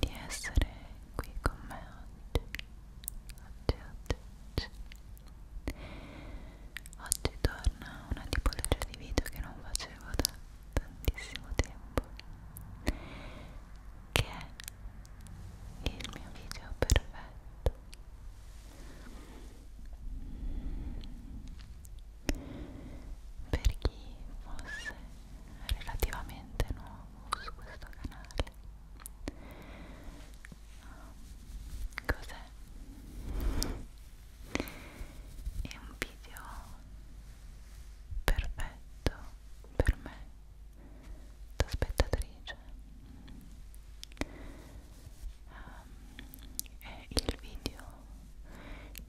di essere qui con me oggi. Oggi, oggi, oggi. Oggi torna una tipologia di video che non facevo da tantissimo tempo, che è il mio video perfetto. Per chi fosse relativamente nuovo su questo canale um, cos'è? è un video perfetto per me da spettatrice um, è il video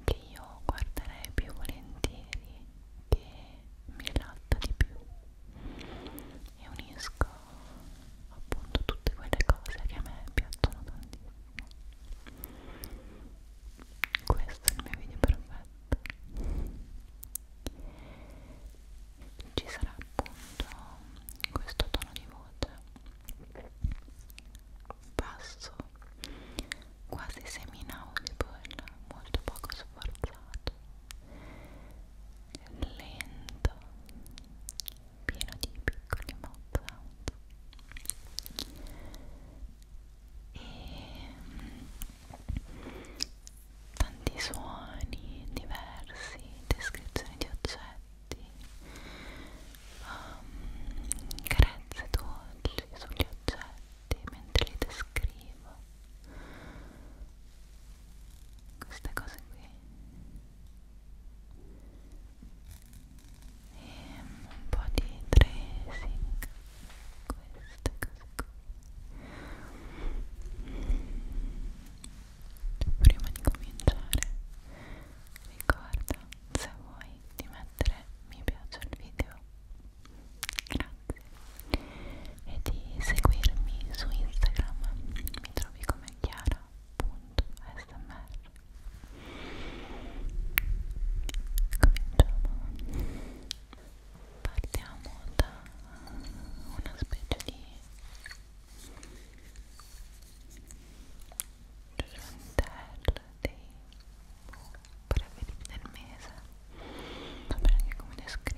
che io guarderei più volentieri che mi rilassa di più e unisco appunto tutte quelle cose che a me piacciono tantissimo questo è il mio video perfetto ci sarà appunto questo tono di voce basso quasi semi-inaudible, molto poco sforzato, lento, pieno di piccoli mouth sound e mm, tanti suoni diversi, descrizioni di oggetti, um, carezze dolci sugli oggetti oggetti mentre li descrivo queste cose qui e ehm, un po' di tracing queste cose qui prima di cominciare ricorda se vuoi di mettere mi piace al video grazie e di seguirmi su Instagram mi trovi come chiara.smr cominciamo partiamo da una specie di giornatello dei preferiti del mese so bene anche come descriverlo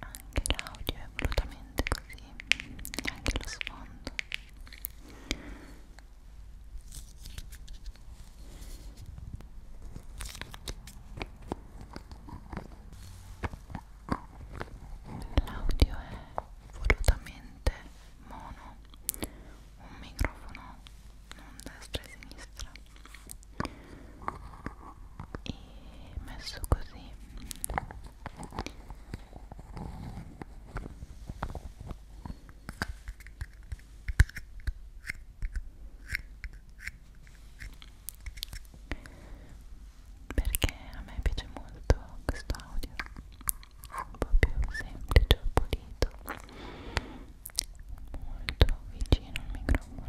anche l'audio è volutamente così e anche lo sfondo l'audio è volutamente mono un microfono non destra e sinistra e messo così perché a me piace molto questo audio un po' più semplice o pulito molto vicino al microfono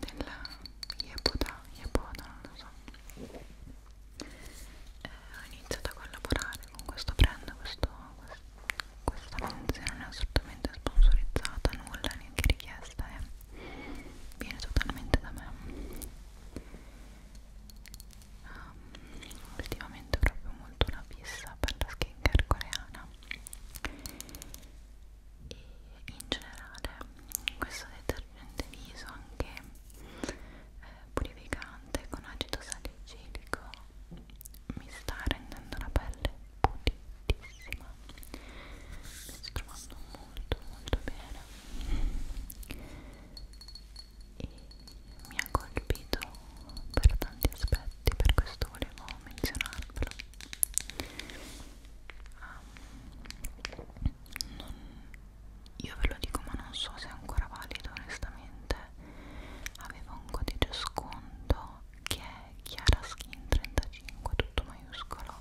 della Yepoda, Yepoda, non lo so eh, ho iniziato a collaborare con questo brand questo, questa menzione non è assolutamente sponsorizzata nulla, neanche richiesta eh. viene totalmente da me um, ultimamente ho proprio molto una fissa per la skincare coreana e in generale questo detergente viso anche eh, purificante con acido salicilico mi sta rendendo la pelle pulitissima mi sto trovando molto molto bene e mi ha colpito per tanti aspetti per questo volevo menzionarvelo um, non, io ve lo dico ma non so se è ancora valido onestamente avevo un codice sconto che è Chiara Skin 35 tutto maiuscolo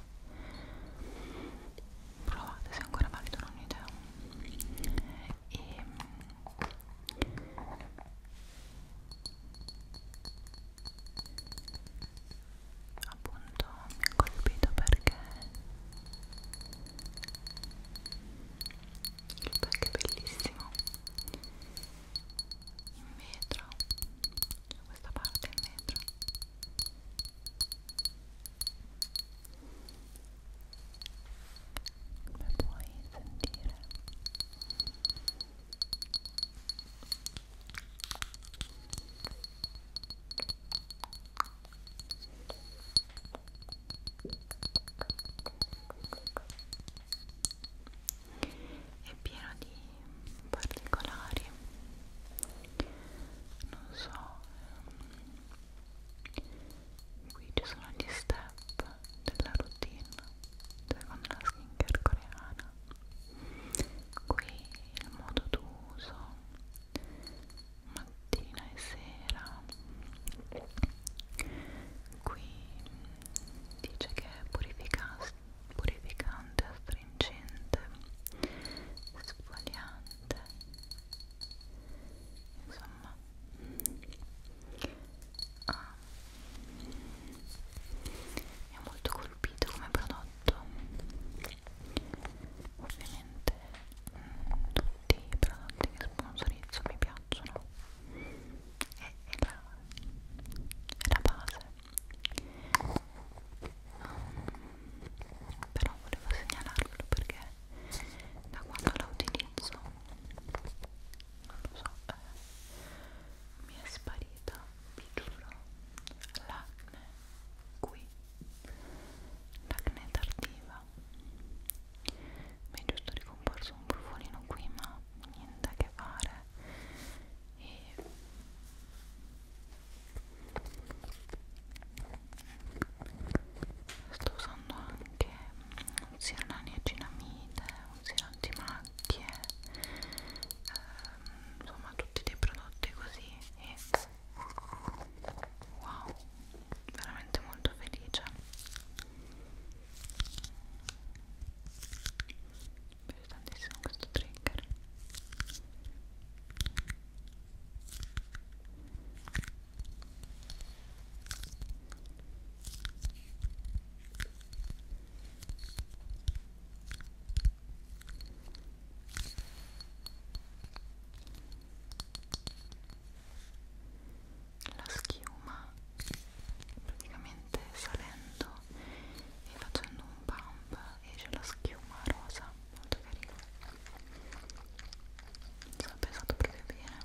provate se è ancora valido non ho idea e ehm, appunto mi ha colpito perché il pack è bellissimo in vetro c'è questa parte in vetro come puoi sentire è pieno di particolari non so ehm, qui ci sono gli step della routine cioè con la skincare coreana qui il modo d'uso mattina e sera qui dice che è purificante, astringente, sfogliante insomma ha ah, è molto colpito come prodotto ovviamente mh, tutti i prodotti che sponsorizzo mi piacciono è, è, la, è la base um, però volevo segnalarlo perché da quando la utilizzo non lo so eh, mi è sparita vi giuro l'acne qui l'acne tardiva mi è giusto ricomporso un brufolino qui ma niente a che fare e sto usando anche un siero naniacinamide, un siero antimacchie eh, insomma tutti dei prodotti così e wow veramente molto felice mi piace tantissimo questo trigger la schiuma praticamente salendo e facendo un pump esce la schiuma rosa molto carina mi sono pensato proprio bene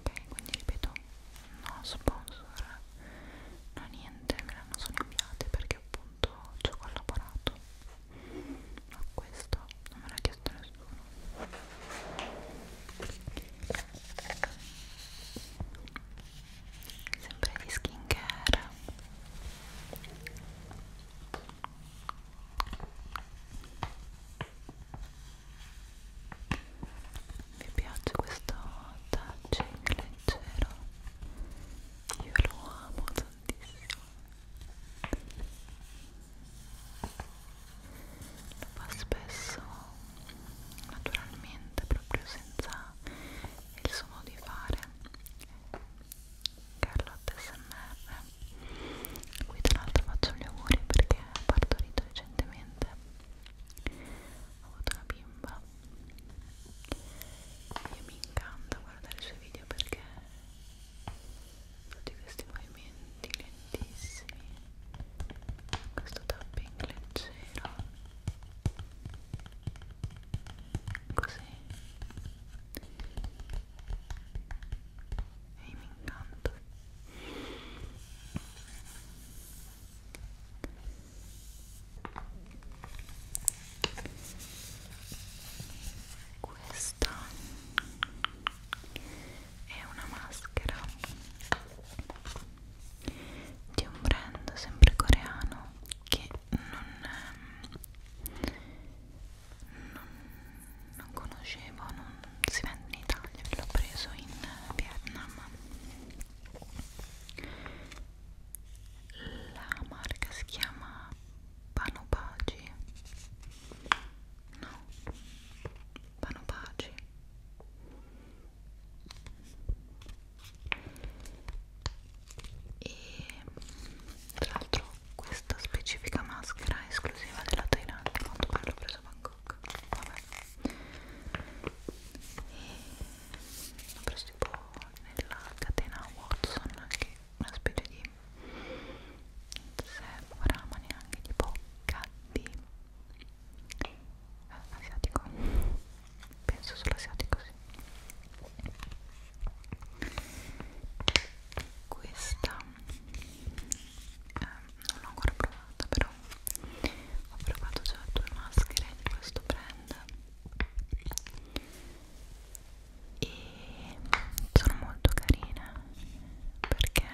ok quindi ripeto no sponsor no niente me l'hanno solo inviate perché appunto ci ho collaborato ma questo non me l'ha chiesto nessuno sempre di skincare vi piace questo touching leggero io lo amo tantissimo lo fa spesso naturalmente proprio senza il suo modo di fare Carlotta SMR qui tra l'altro faccio gli auguri perché ho partorito recentemente ho avuto una bimba e mi incanta guardare i suoi video perché tutti questi movimenti lentissimi questo tapping leggero così e mi incanto questa è una maschera di un brand sempre coreano che non, non, non conoscevo, non si vende in Italia, l'ho preso in Vietnam la marca si chiama Panopaci no Panopaci e tra l'altro questa specifica maschera è esclusiva della Thailandia quanto pare l'ho presa a Bangkok vabbè e preso tipo nella catena Watson che è una specie di sembra ma neanche tipo gatti eh, asiatico penso solo asiatico sì questa eh, non l'ho ancora provata però ho provato già due maschere di questo brand e sono molto carine perché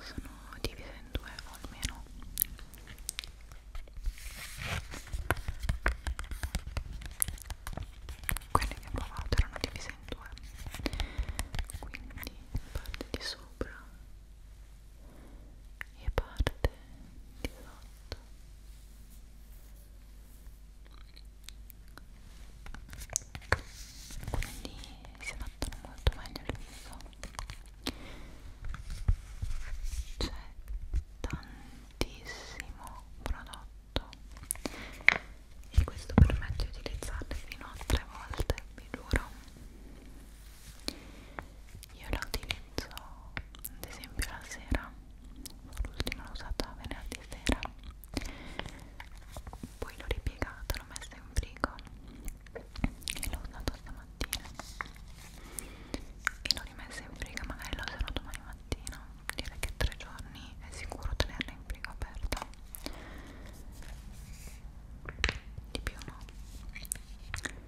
sono divise in due o almeno quelle che ho provato erano divise in due quindi parte di sopra e parte di sotto quindi si adattano molto meglio al viso c'è tantissimo prodotto e questo permette di utilizzarli fino a tre volte vi giuro io la utilizzo ad esempio la sera l'ultima l'ho usata venerdì sera poi l'ho ripiegata, l'ho messa in frigo e l'ho usata stamattina e l'ho rimessa in frigo magari la userò domani mattina direi che tre giorni è sicuro tenerla in frigo aperta di più no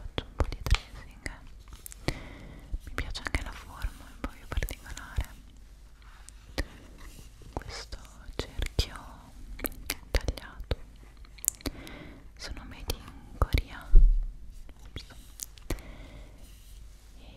faccio un po' di tracing eh. mi piace anche la forma un po' più particolare questo cerchio tagliato sono made in Corea Ups. E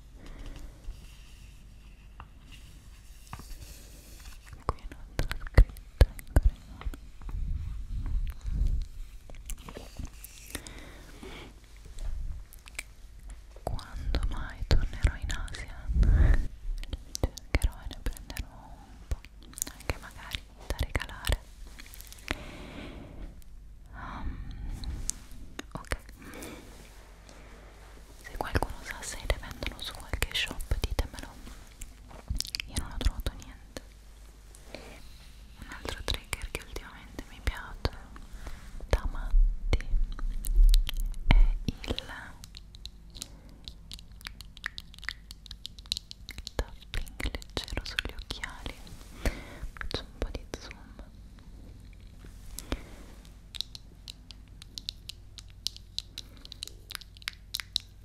qui non c'è scritto in coreano quando mai tornerò in Asia cercherò e ne prenderò un po' anche magari da regalare um, ok se qualcuno sa se le vendono su qualche shop ditemelo io non ho trovato niente un altro trigger che ultimamente mi piace da matti è il tapping leggero sugli occhiali faccio un po' di zoom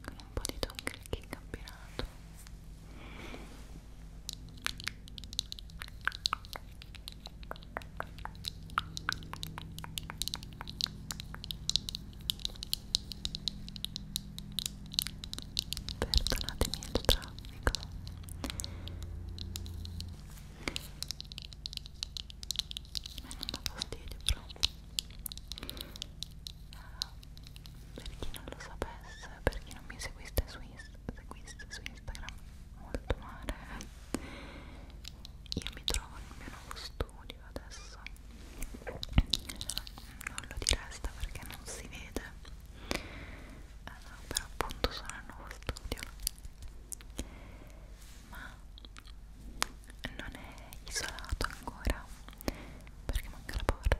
con un po' di tongue clicking abbinato Perdonatemi il traffico a me non dà fastidio però uh, per chi non lo sapesse per chi non mi seguiste su, seguiste su Instagram molto male io mi trovo nel mio nuovo studio adesso non, non lo diresta perché non si vede allora, eh, però appunto sono al nuovo studio ma non è isolato ancora perché manca la porta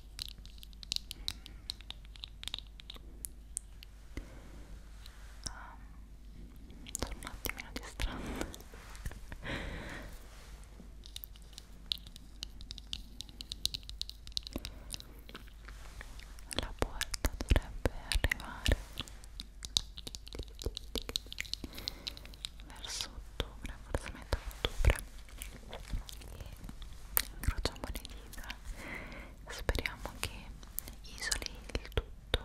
ah, ehm, sono un attimino distratta la porta dovrebbe arrivare verso ottobre, forse metà ottobre e incrociamo le dita speriamo che isoli il tutto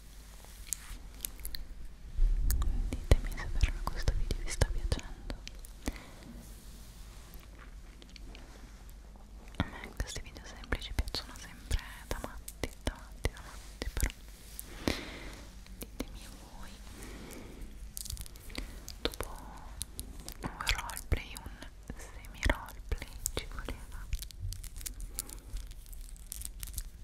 ditemi se per me questo video vi sta piacendo a me questi video semplici piacciono sempre da matti, da matti, da matti però ditemi voi dopo un roleplay, un semi roleplay ci voleva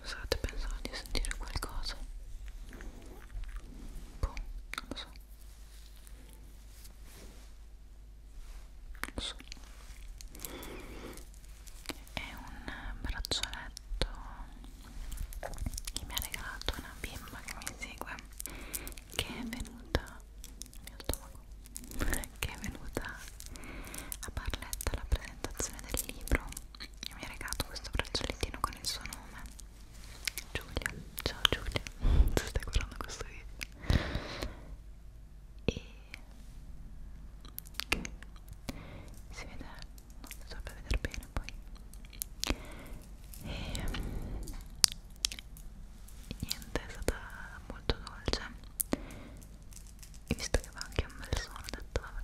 Scusate, pensavo di sentire qualcosa. Boh, non lo so. Non lo so. È un braccialetto che mi ha regalato una bimba che mi segue che è venuta mio stomaco che è venuta a Barletta alla presentazione del libro e mi ha regalato questo braccialettino con il suo nome Giulia, ciao Giulia se stai guardando questo video e si vede, non so per vedere bene poi e ehm, niente è stata molto dolce e visto che va anche un bel suono ho detto vabbè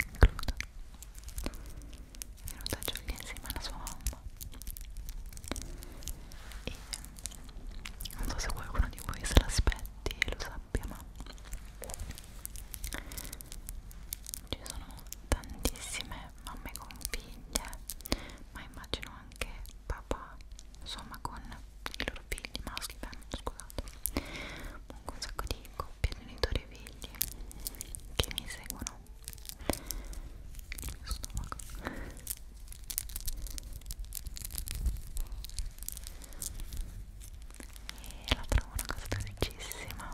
includo è venuta Giulia insieme alla sua mamma e ehm, non so se qualcuno di voi se l'aspetti e lo sappia ma ci sono tantissime mamme con figlie ma immagino anche papà insomma con i loro figli maschi beh, scusate comunque un sacco di coppie genitori e figli che mi seguono il mio stomaco e la trovo una cosa dolcissima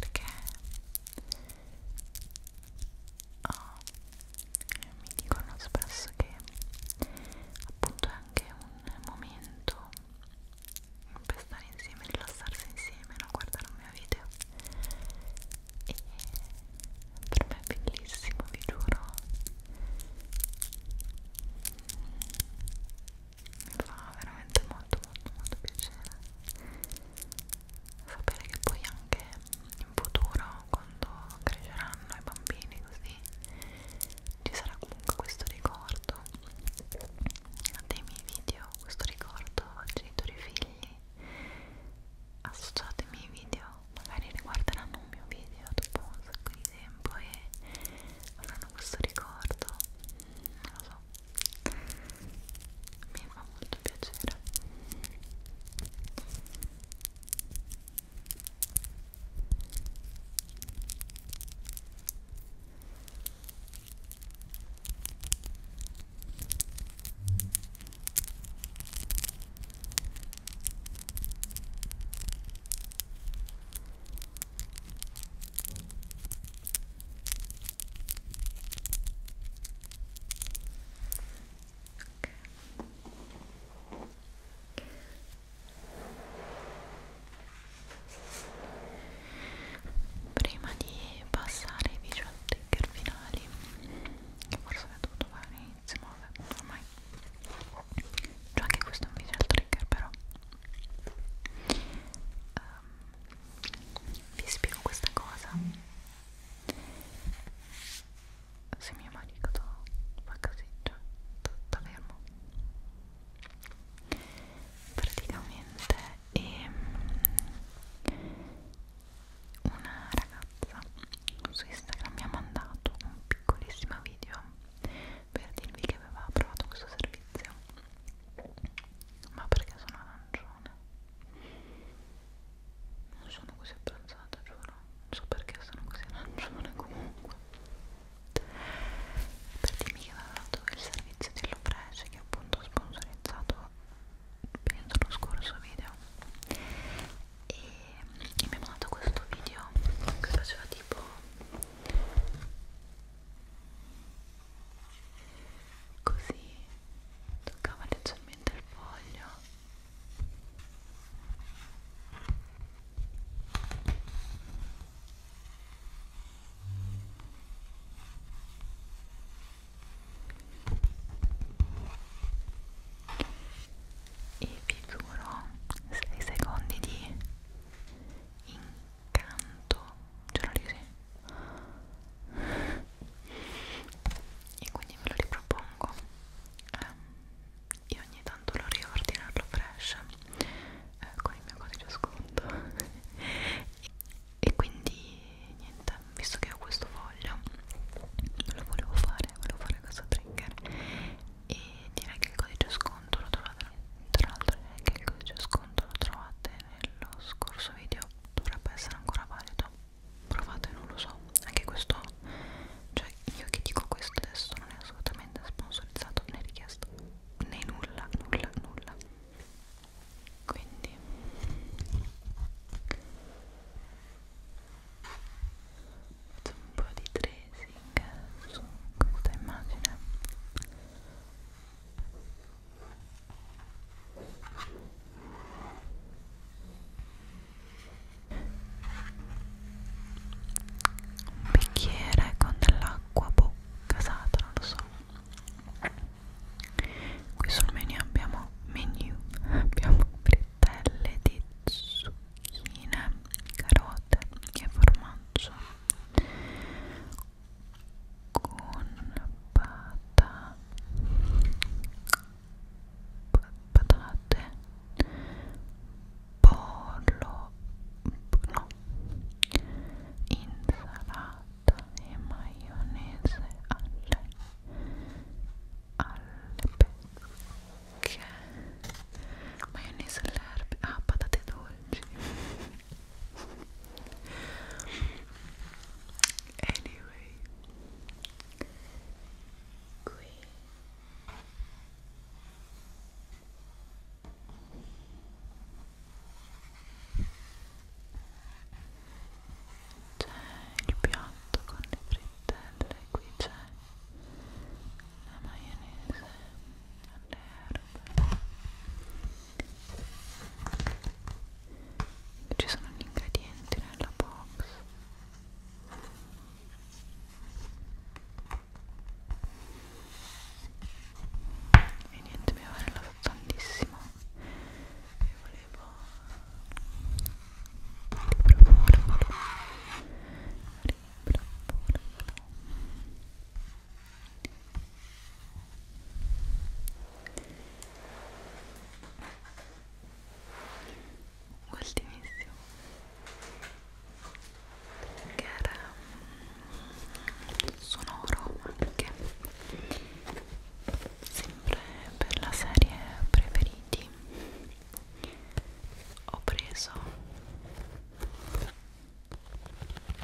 perché oh, mi dicono spesso che appunto è anche un momento per stare insieme, rilassarsi insieme, no? guardare un mio video e per me è bellissimo, vi giuro mi fa veramente molto molto molto piacere sapere che poi anche in futuro quando cresceranno i bambini così ci sarà comunque questo ricordo dei miei video questo ricordo genitori figli associate i miei video magari riguarderanno un mio video dopo un sacco di tempo e avranno questo ricordo non lo so mi fa molto piacere Prima di passare ai visual trigger finali che forse l'ho dovuto fare all'inizio, ma vabbè, ormai c'è anche questo è un video al trigger però um, vi spiego questa cosa se mio marito fa così, cioè, tutto fermo praticamente e ehm, una ragazza su Instagram mi ha mandato un piccolissimo video per dirvi che aveva provato questo servizio ma perché sono arancione non sono così abbronzata giuro non so perché sono così arancione comunque per dirmi che aveva dato il servizio dell'Oprece che appunto ho sponsorizzato penso lo scorso video e, e mi ha mandato questo video che faceva tipo così toccava leggermente il foglio e e vi giuro 6 secondi di incanto giuro di sì e quindi ve lo ripropongo eh, io ogni tanto lo riordinarlo fresh eh, con il mio codice sconto e quindi niente, visto che ho questo foglio lo volevo fare, volevo fare questo trigger e direi che il codice sconto lo trovate tra l'altro direi che il codice sconto lo trovate nello scorso video dovrebbe essere ancora valido provate, non lo so anche questo, cioè io che dico questo adesso non è assolutamente sponsorizzato né richiesto né nulla, nulla, nulla quindi faccio un po' di tracing su questa immagine un bicchiere con dell'acqua boh, casata, non lo so qui sul menu abbiamo menu abbiamo preso fettelle di zucchine, carote e formaggio con pata, patate, pollo, no, insalata e maionese alle alle perché maionese alle erbe ah patate dolci anyway qui c'è il piatto con le frittelle qui c'è la maionese alle erbe ci sono gli ingredienti nella box e niente mi aveva rilassato tantissimo e volevo avevo riproporlo ultimissimo che era sonoro mm, anche sempre per la serie preferiti così ho preso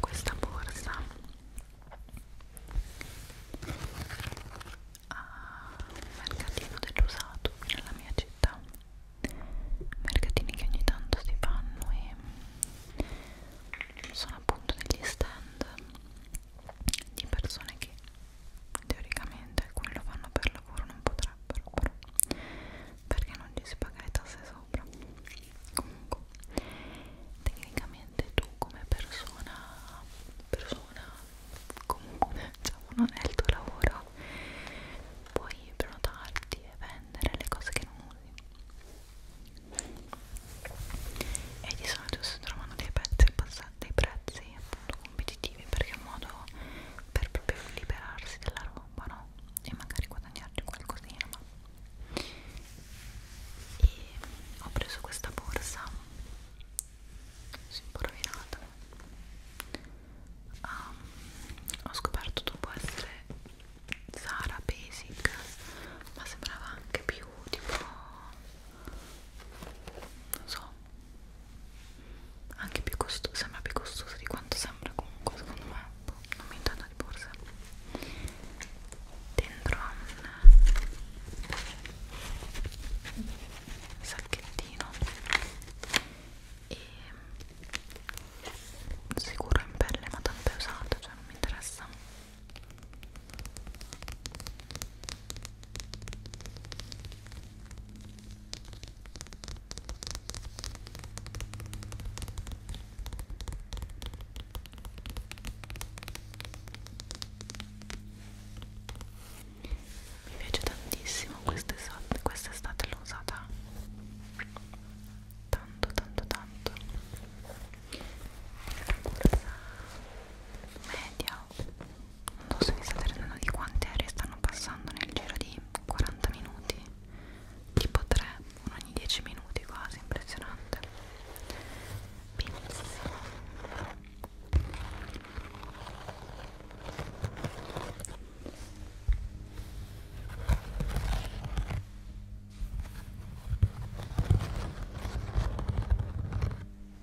questa borsa al ah, mercatino dell'usato qui nella mia città mercatini che ogni tanto si fanno e sono appunto degli stand di persone che teoricamente alcuni lo fanno per lavoro non potrebbero però perché non gli si paga le tasse sopra comunque tecnicamente tu come persona persona comune diciamo non è il tuo lavoro puoi prenotarti e vendere le cose che non usi e di solito si trovano dei pezzi al passaggio dei prezzi appunto competitivi perché è un modo per proprio liberarsi della roba no? e magari guadagnarci qualcosina ma... e ho preso questa borsa sì, un po' rovinata um, ho scoperto dopo essere Zara Basic ma sembrava anche più tipo non so anche più costoso, sembra più costoso di quanto sembra comunque secondo me boh, non mi intendo di borsa dentro un sacchettino e mm, sicuro in pelle ma tanto è usato cioè non mi interessa mi piace tantissimo quest'estate, quest'estate l'ho usata tanto tanto tanto media non so se vi state rendendo di quante aeree stanno passando nel giro di 40 minuti tipo 3 uno ogni 10 minuti quasi impressionante benissimo ok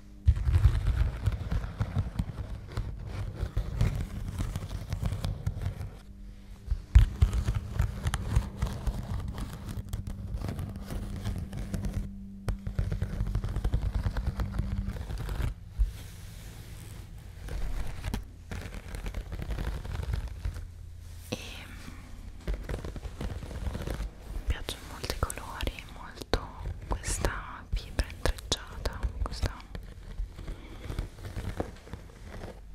e mi mm, piacciono molti colori molto questa fibra intrecciata questa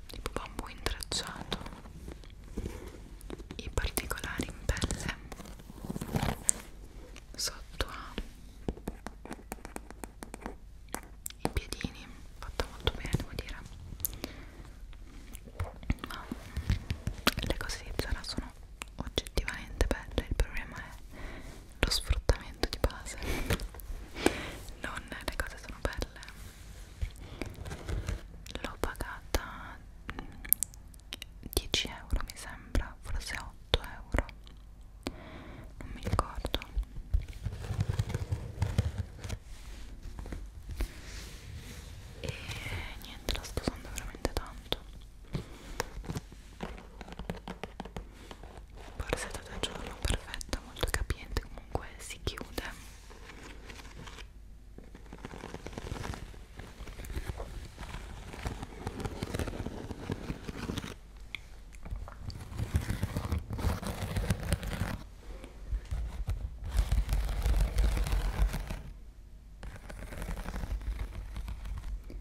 tipo bambù intrecciato i particolari in pelle sotto i piedini fatta molto bene devo dire ma le cose di Zara sono oggettivamente belle il problema è lo sfruttamento di base non le cose sono belle l'ho pagata 10 mm, euro mi sembra forse 8 euro non mi ricordo e niente la sto usando veramente tanto borsetta da giorno perfetta molto capiente comunque si chiude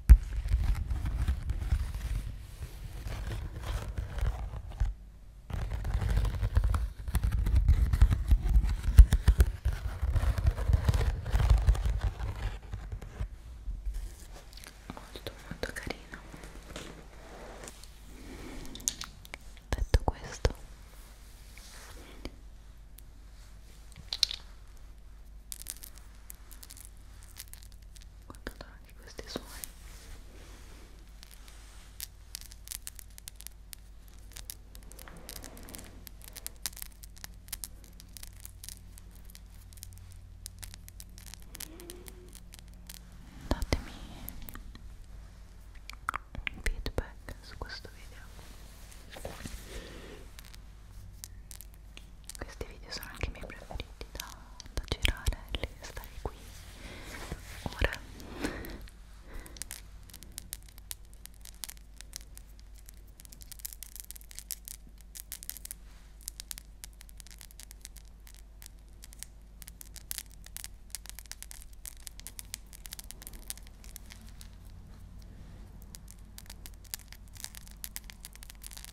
molto molto carino detto questo guardando anche questi suoni datemi un feedback su questo video questi video sono anche i miei preferiti da, da girare e stare qui ora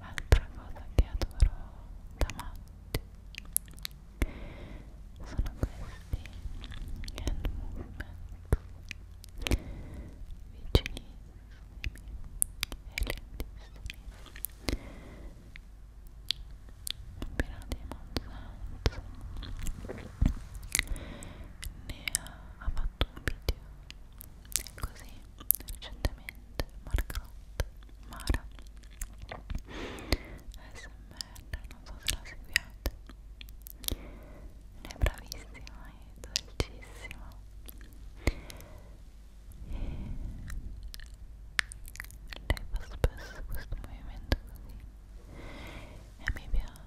Altra cosa che adoro da matti sono questi hand movement vicinissimi e lentissimi pieno di monsanto ne ha ha fatto un video così recentemente Margot Mara ASMR non so se la seguiate è bravissima e dolcissima e lei fa spesso questo movimento così e mi piace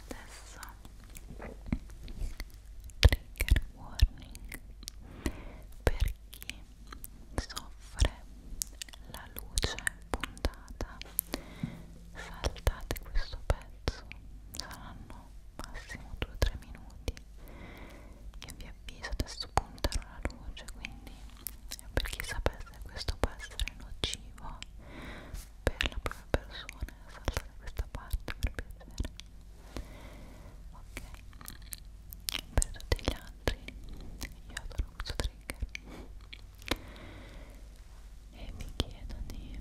Adesso trigger warning per chi soffre la luce puntata. Saltate questo pezzo, saranno massimo 2-3 minuti io vi avviso, adesso punterò la luce, quindi per chi sapesse questo può essere nocivo per la propria persona, salta da questa parte per piacere. Ok, per tutti gli altri, io adoro questo trigger e mi chiedo di eh,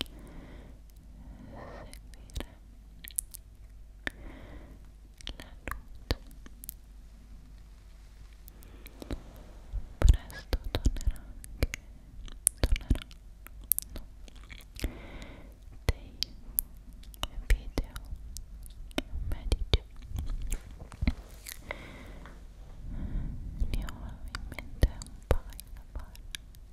seguire presto tornerà anche torneranno no, dei video medici ne ho in mente un paio da fare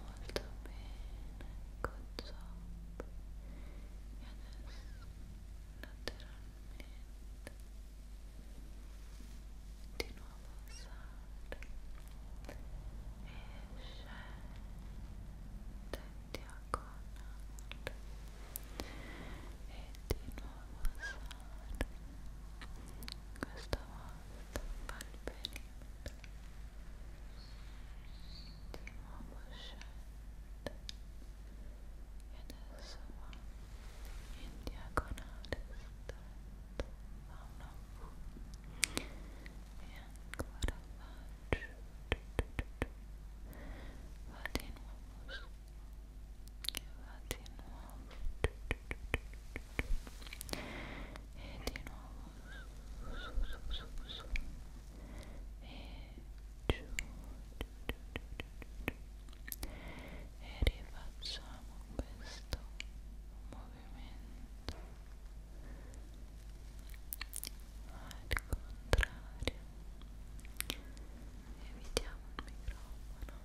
molto bene good job e adesso lateralmente di nuovo sale e scende diagonale e di nuovo alzare questa volta fa il perimetro di nuovo scende e adesso va in diagonale stretto fa una V e ancora va giù, giù, giù, giù va di nuovo su che va di nuovo e di nuovo su su su su e giù e rifacciamo questo movimento al contrario evitiamo il microfono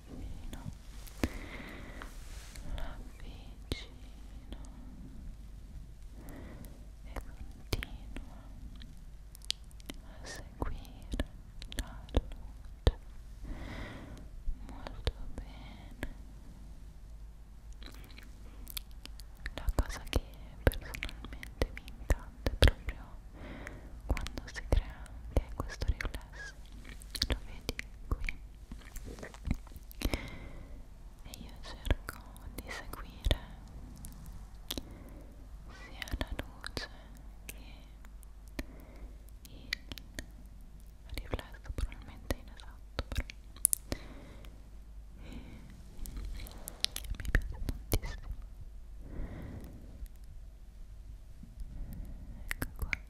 l'avvicino l'avvicino e continua a seguire la luce molto bene la cosa che personalmente mi incanta è proprio quando si crea anche questo riflesso stress lo vedi qui e io cerco di seguire sia la luce che il riflesso probabilmente inesatto però e mi piace tantissimo ecco qua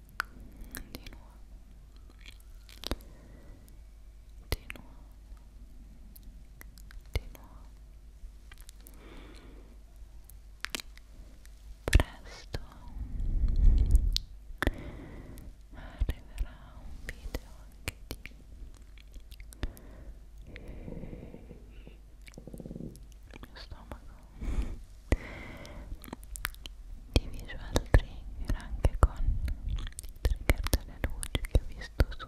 di nuovo di nuovo di nuovo presto arriverà un video anche di il mio stomaco di visual trigger anche con il trigger delle luci che ho visto su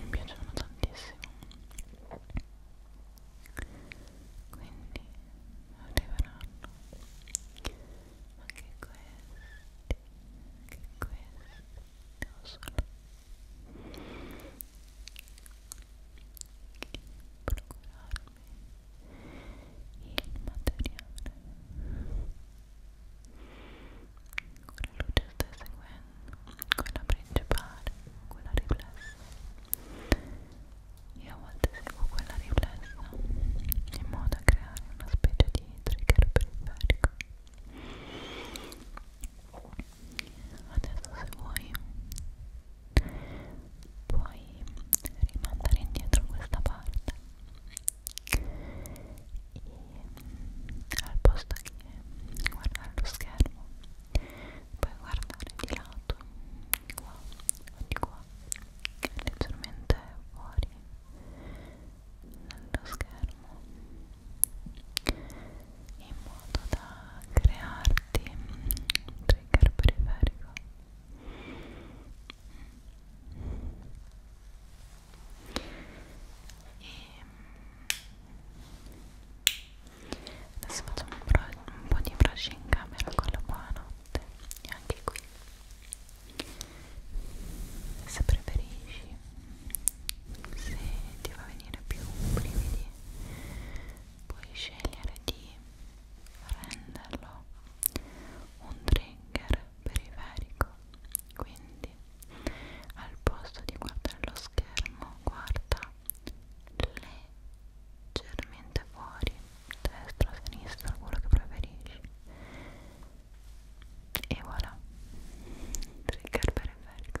mi piacciono tantissimo quindi arriveranno anche questi anche questi devo solo procurarmi il materiale quella luce sta seguendo quella principale quella riflessa io a volte seguo quella riflessa in modo da creare una specie di trigger periferico adesso se vuoi puoi rimandare indietro questa parte e al posto che guardare lo schermo puoi guardare di lato di qua o di qua leggermente fuori dallo schermo in modo da crearti un trigger periferico Ehm, adesso facciamo un, un po' di brush in camera con la buonanotte e anche qui se preferisci se ti va a venire più brividi puoi scegliere di renderlo un trigger periferico quindi al posto di guardare lo schermo guarda leggermente fuori destra, sinistra, quello che preferisci e voilà trigger periferico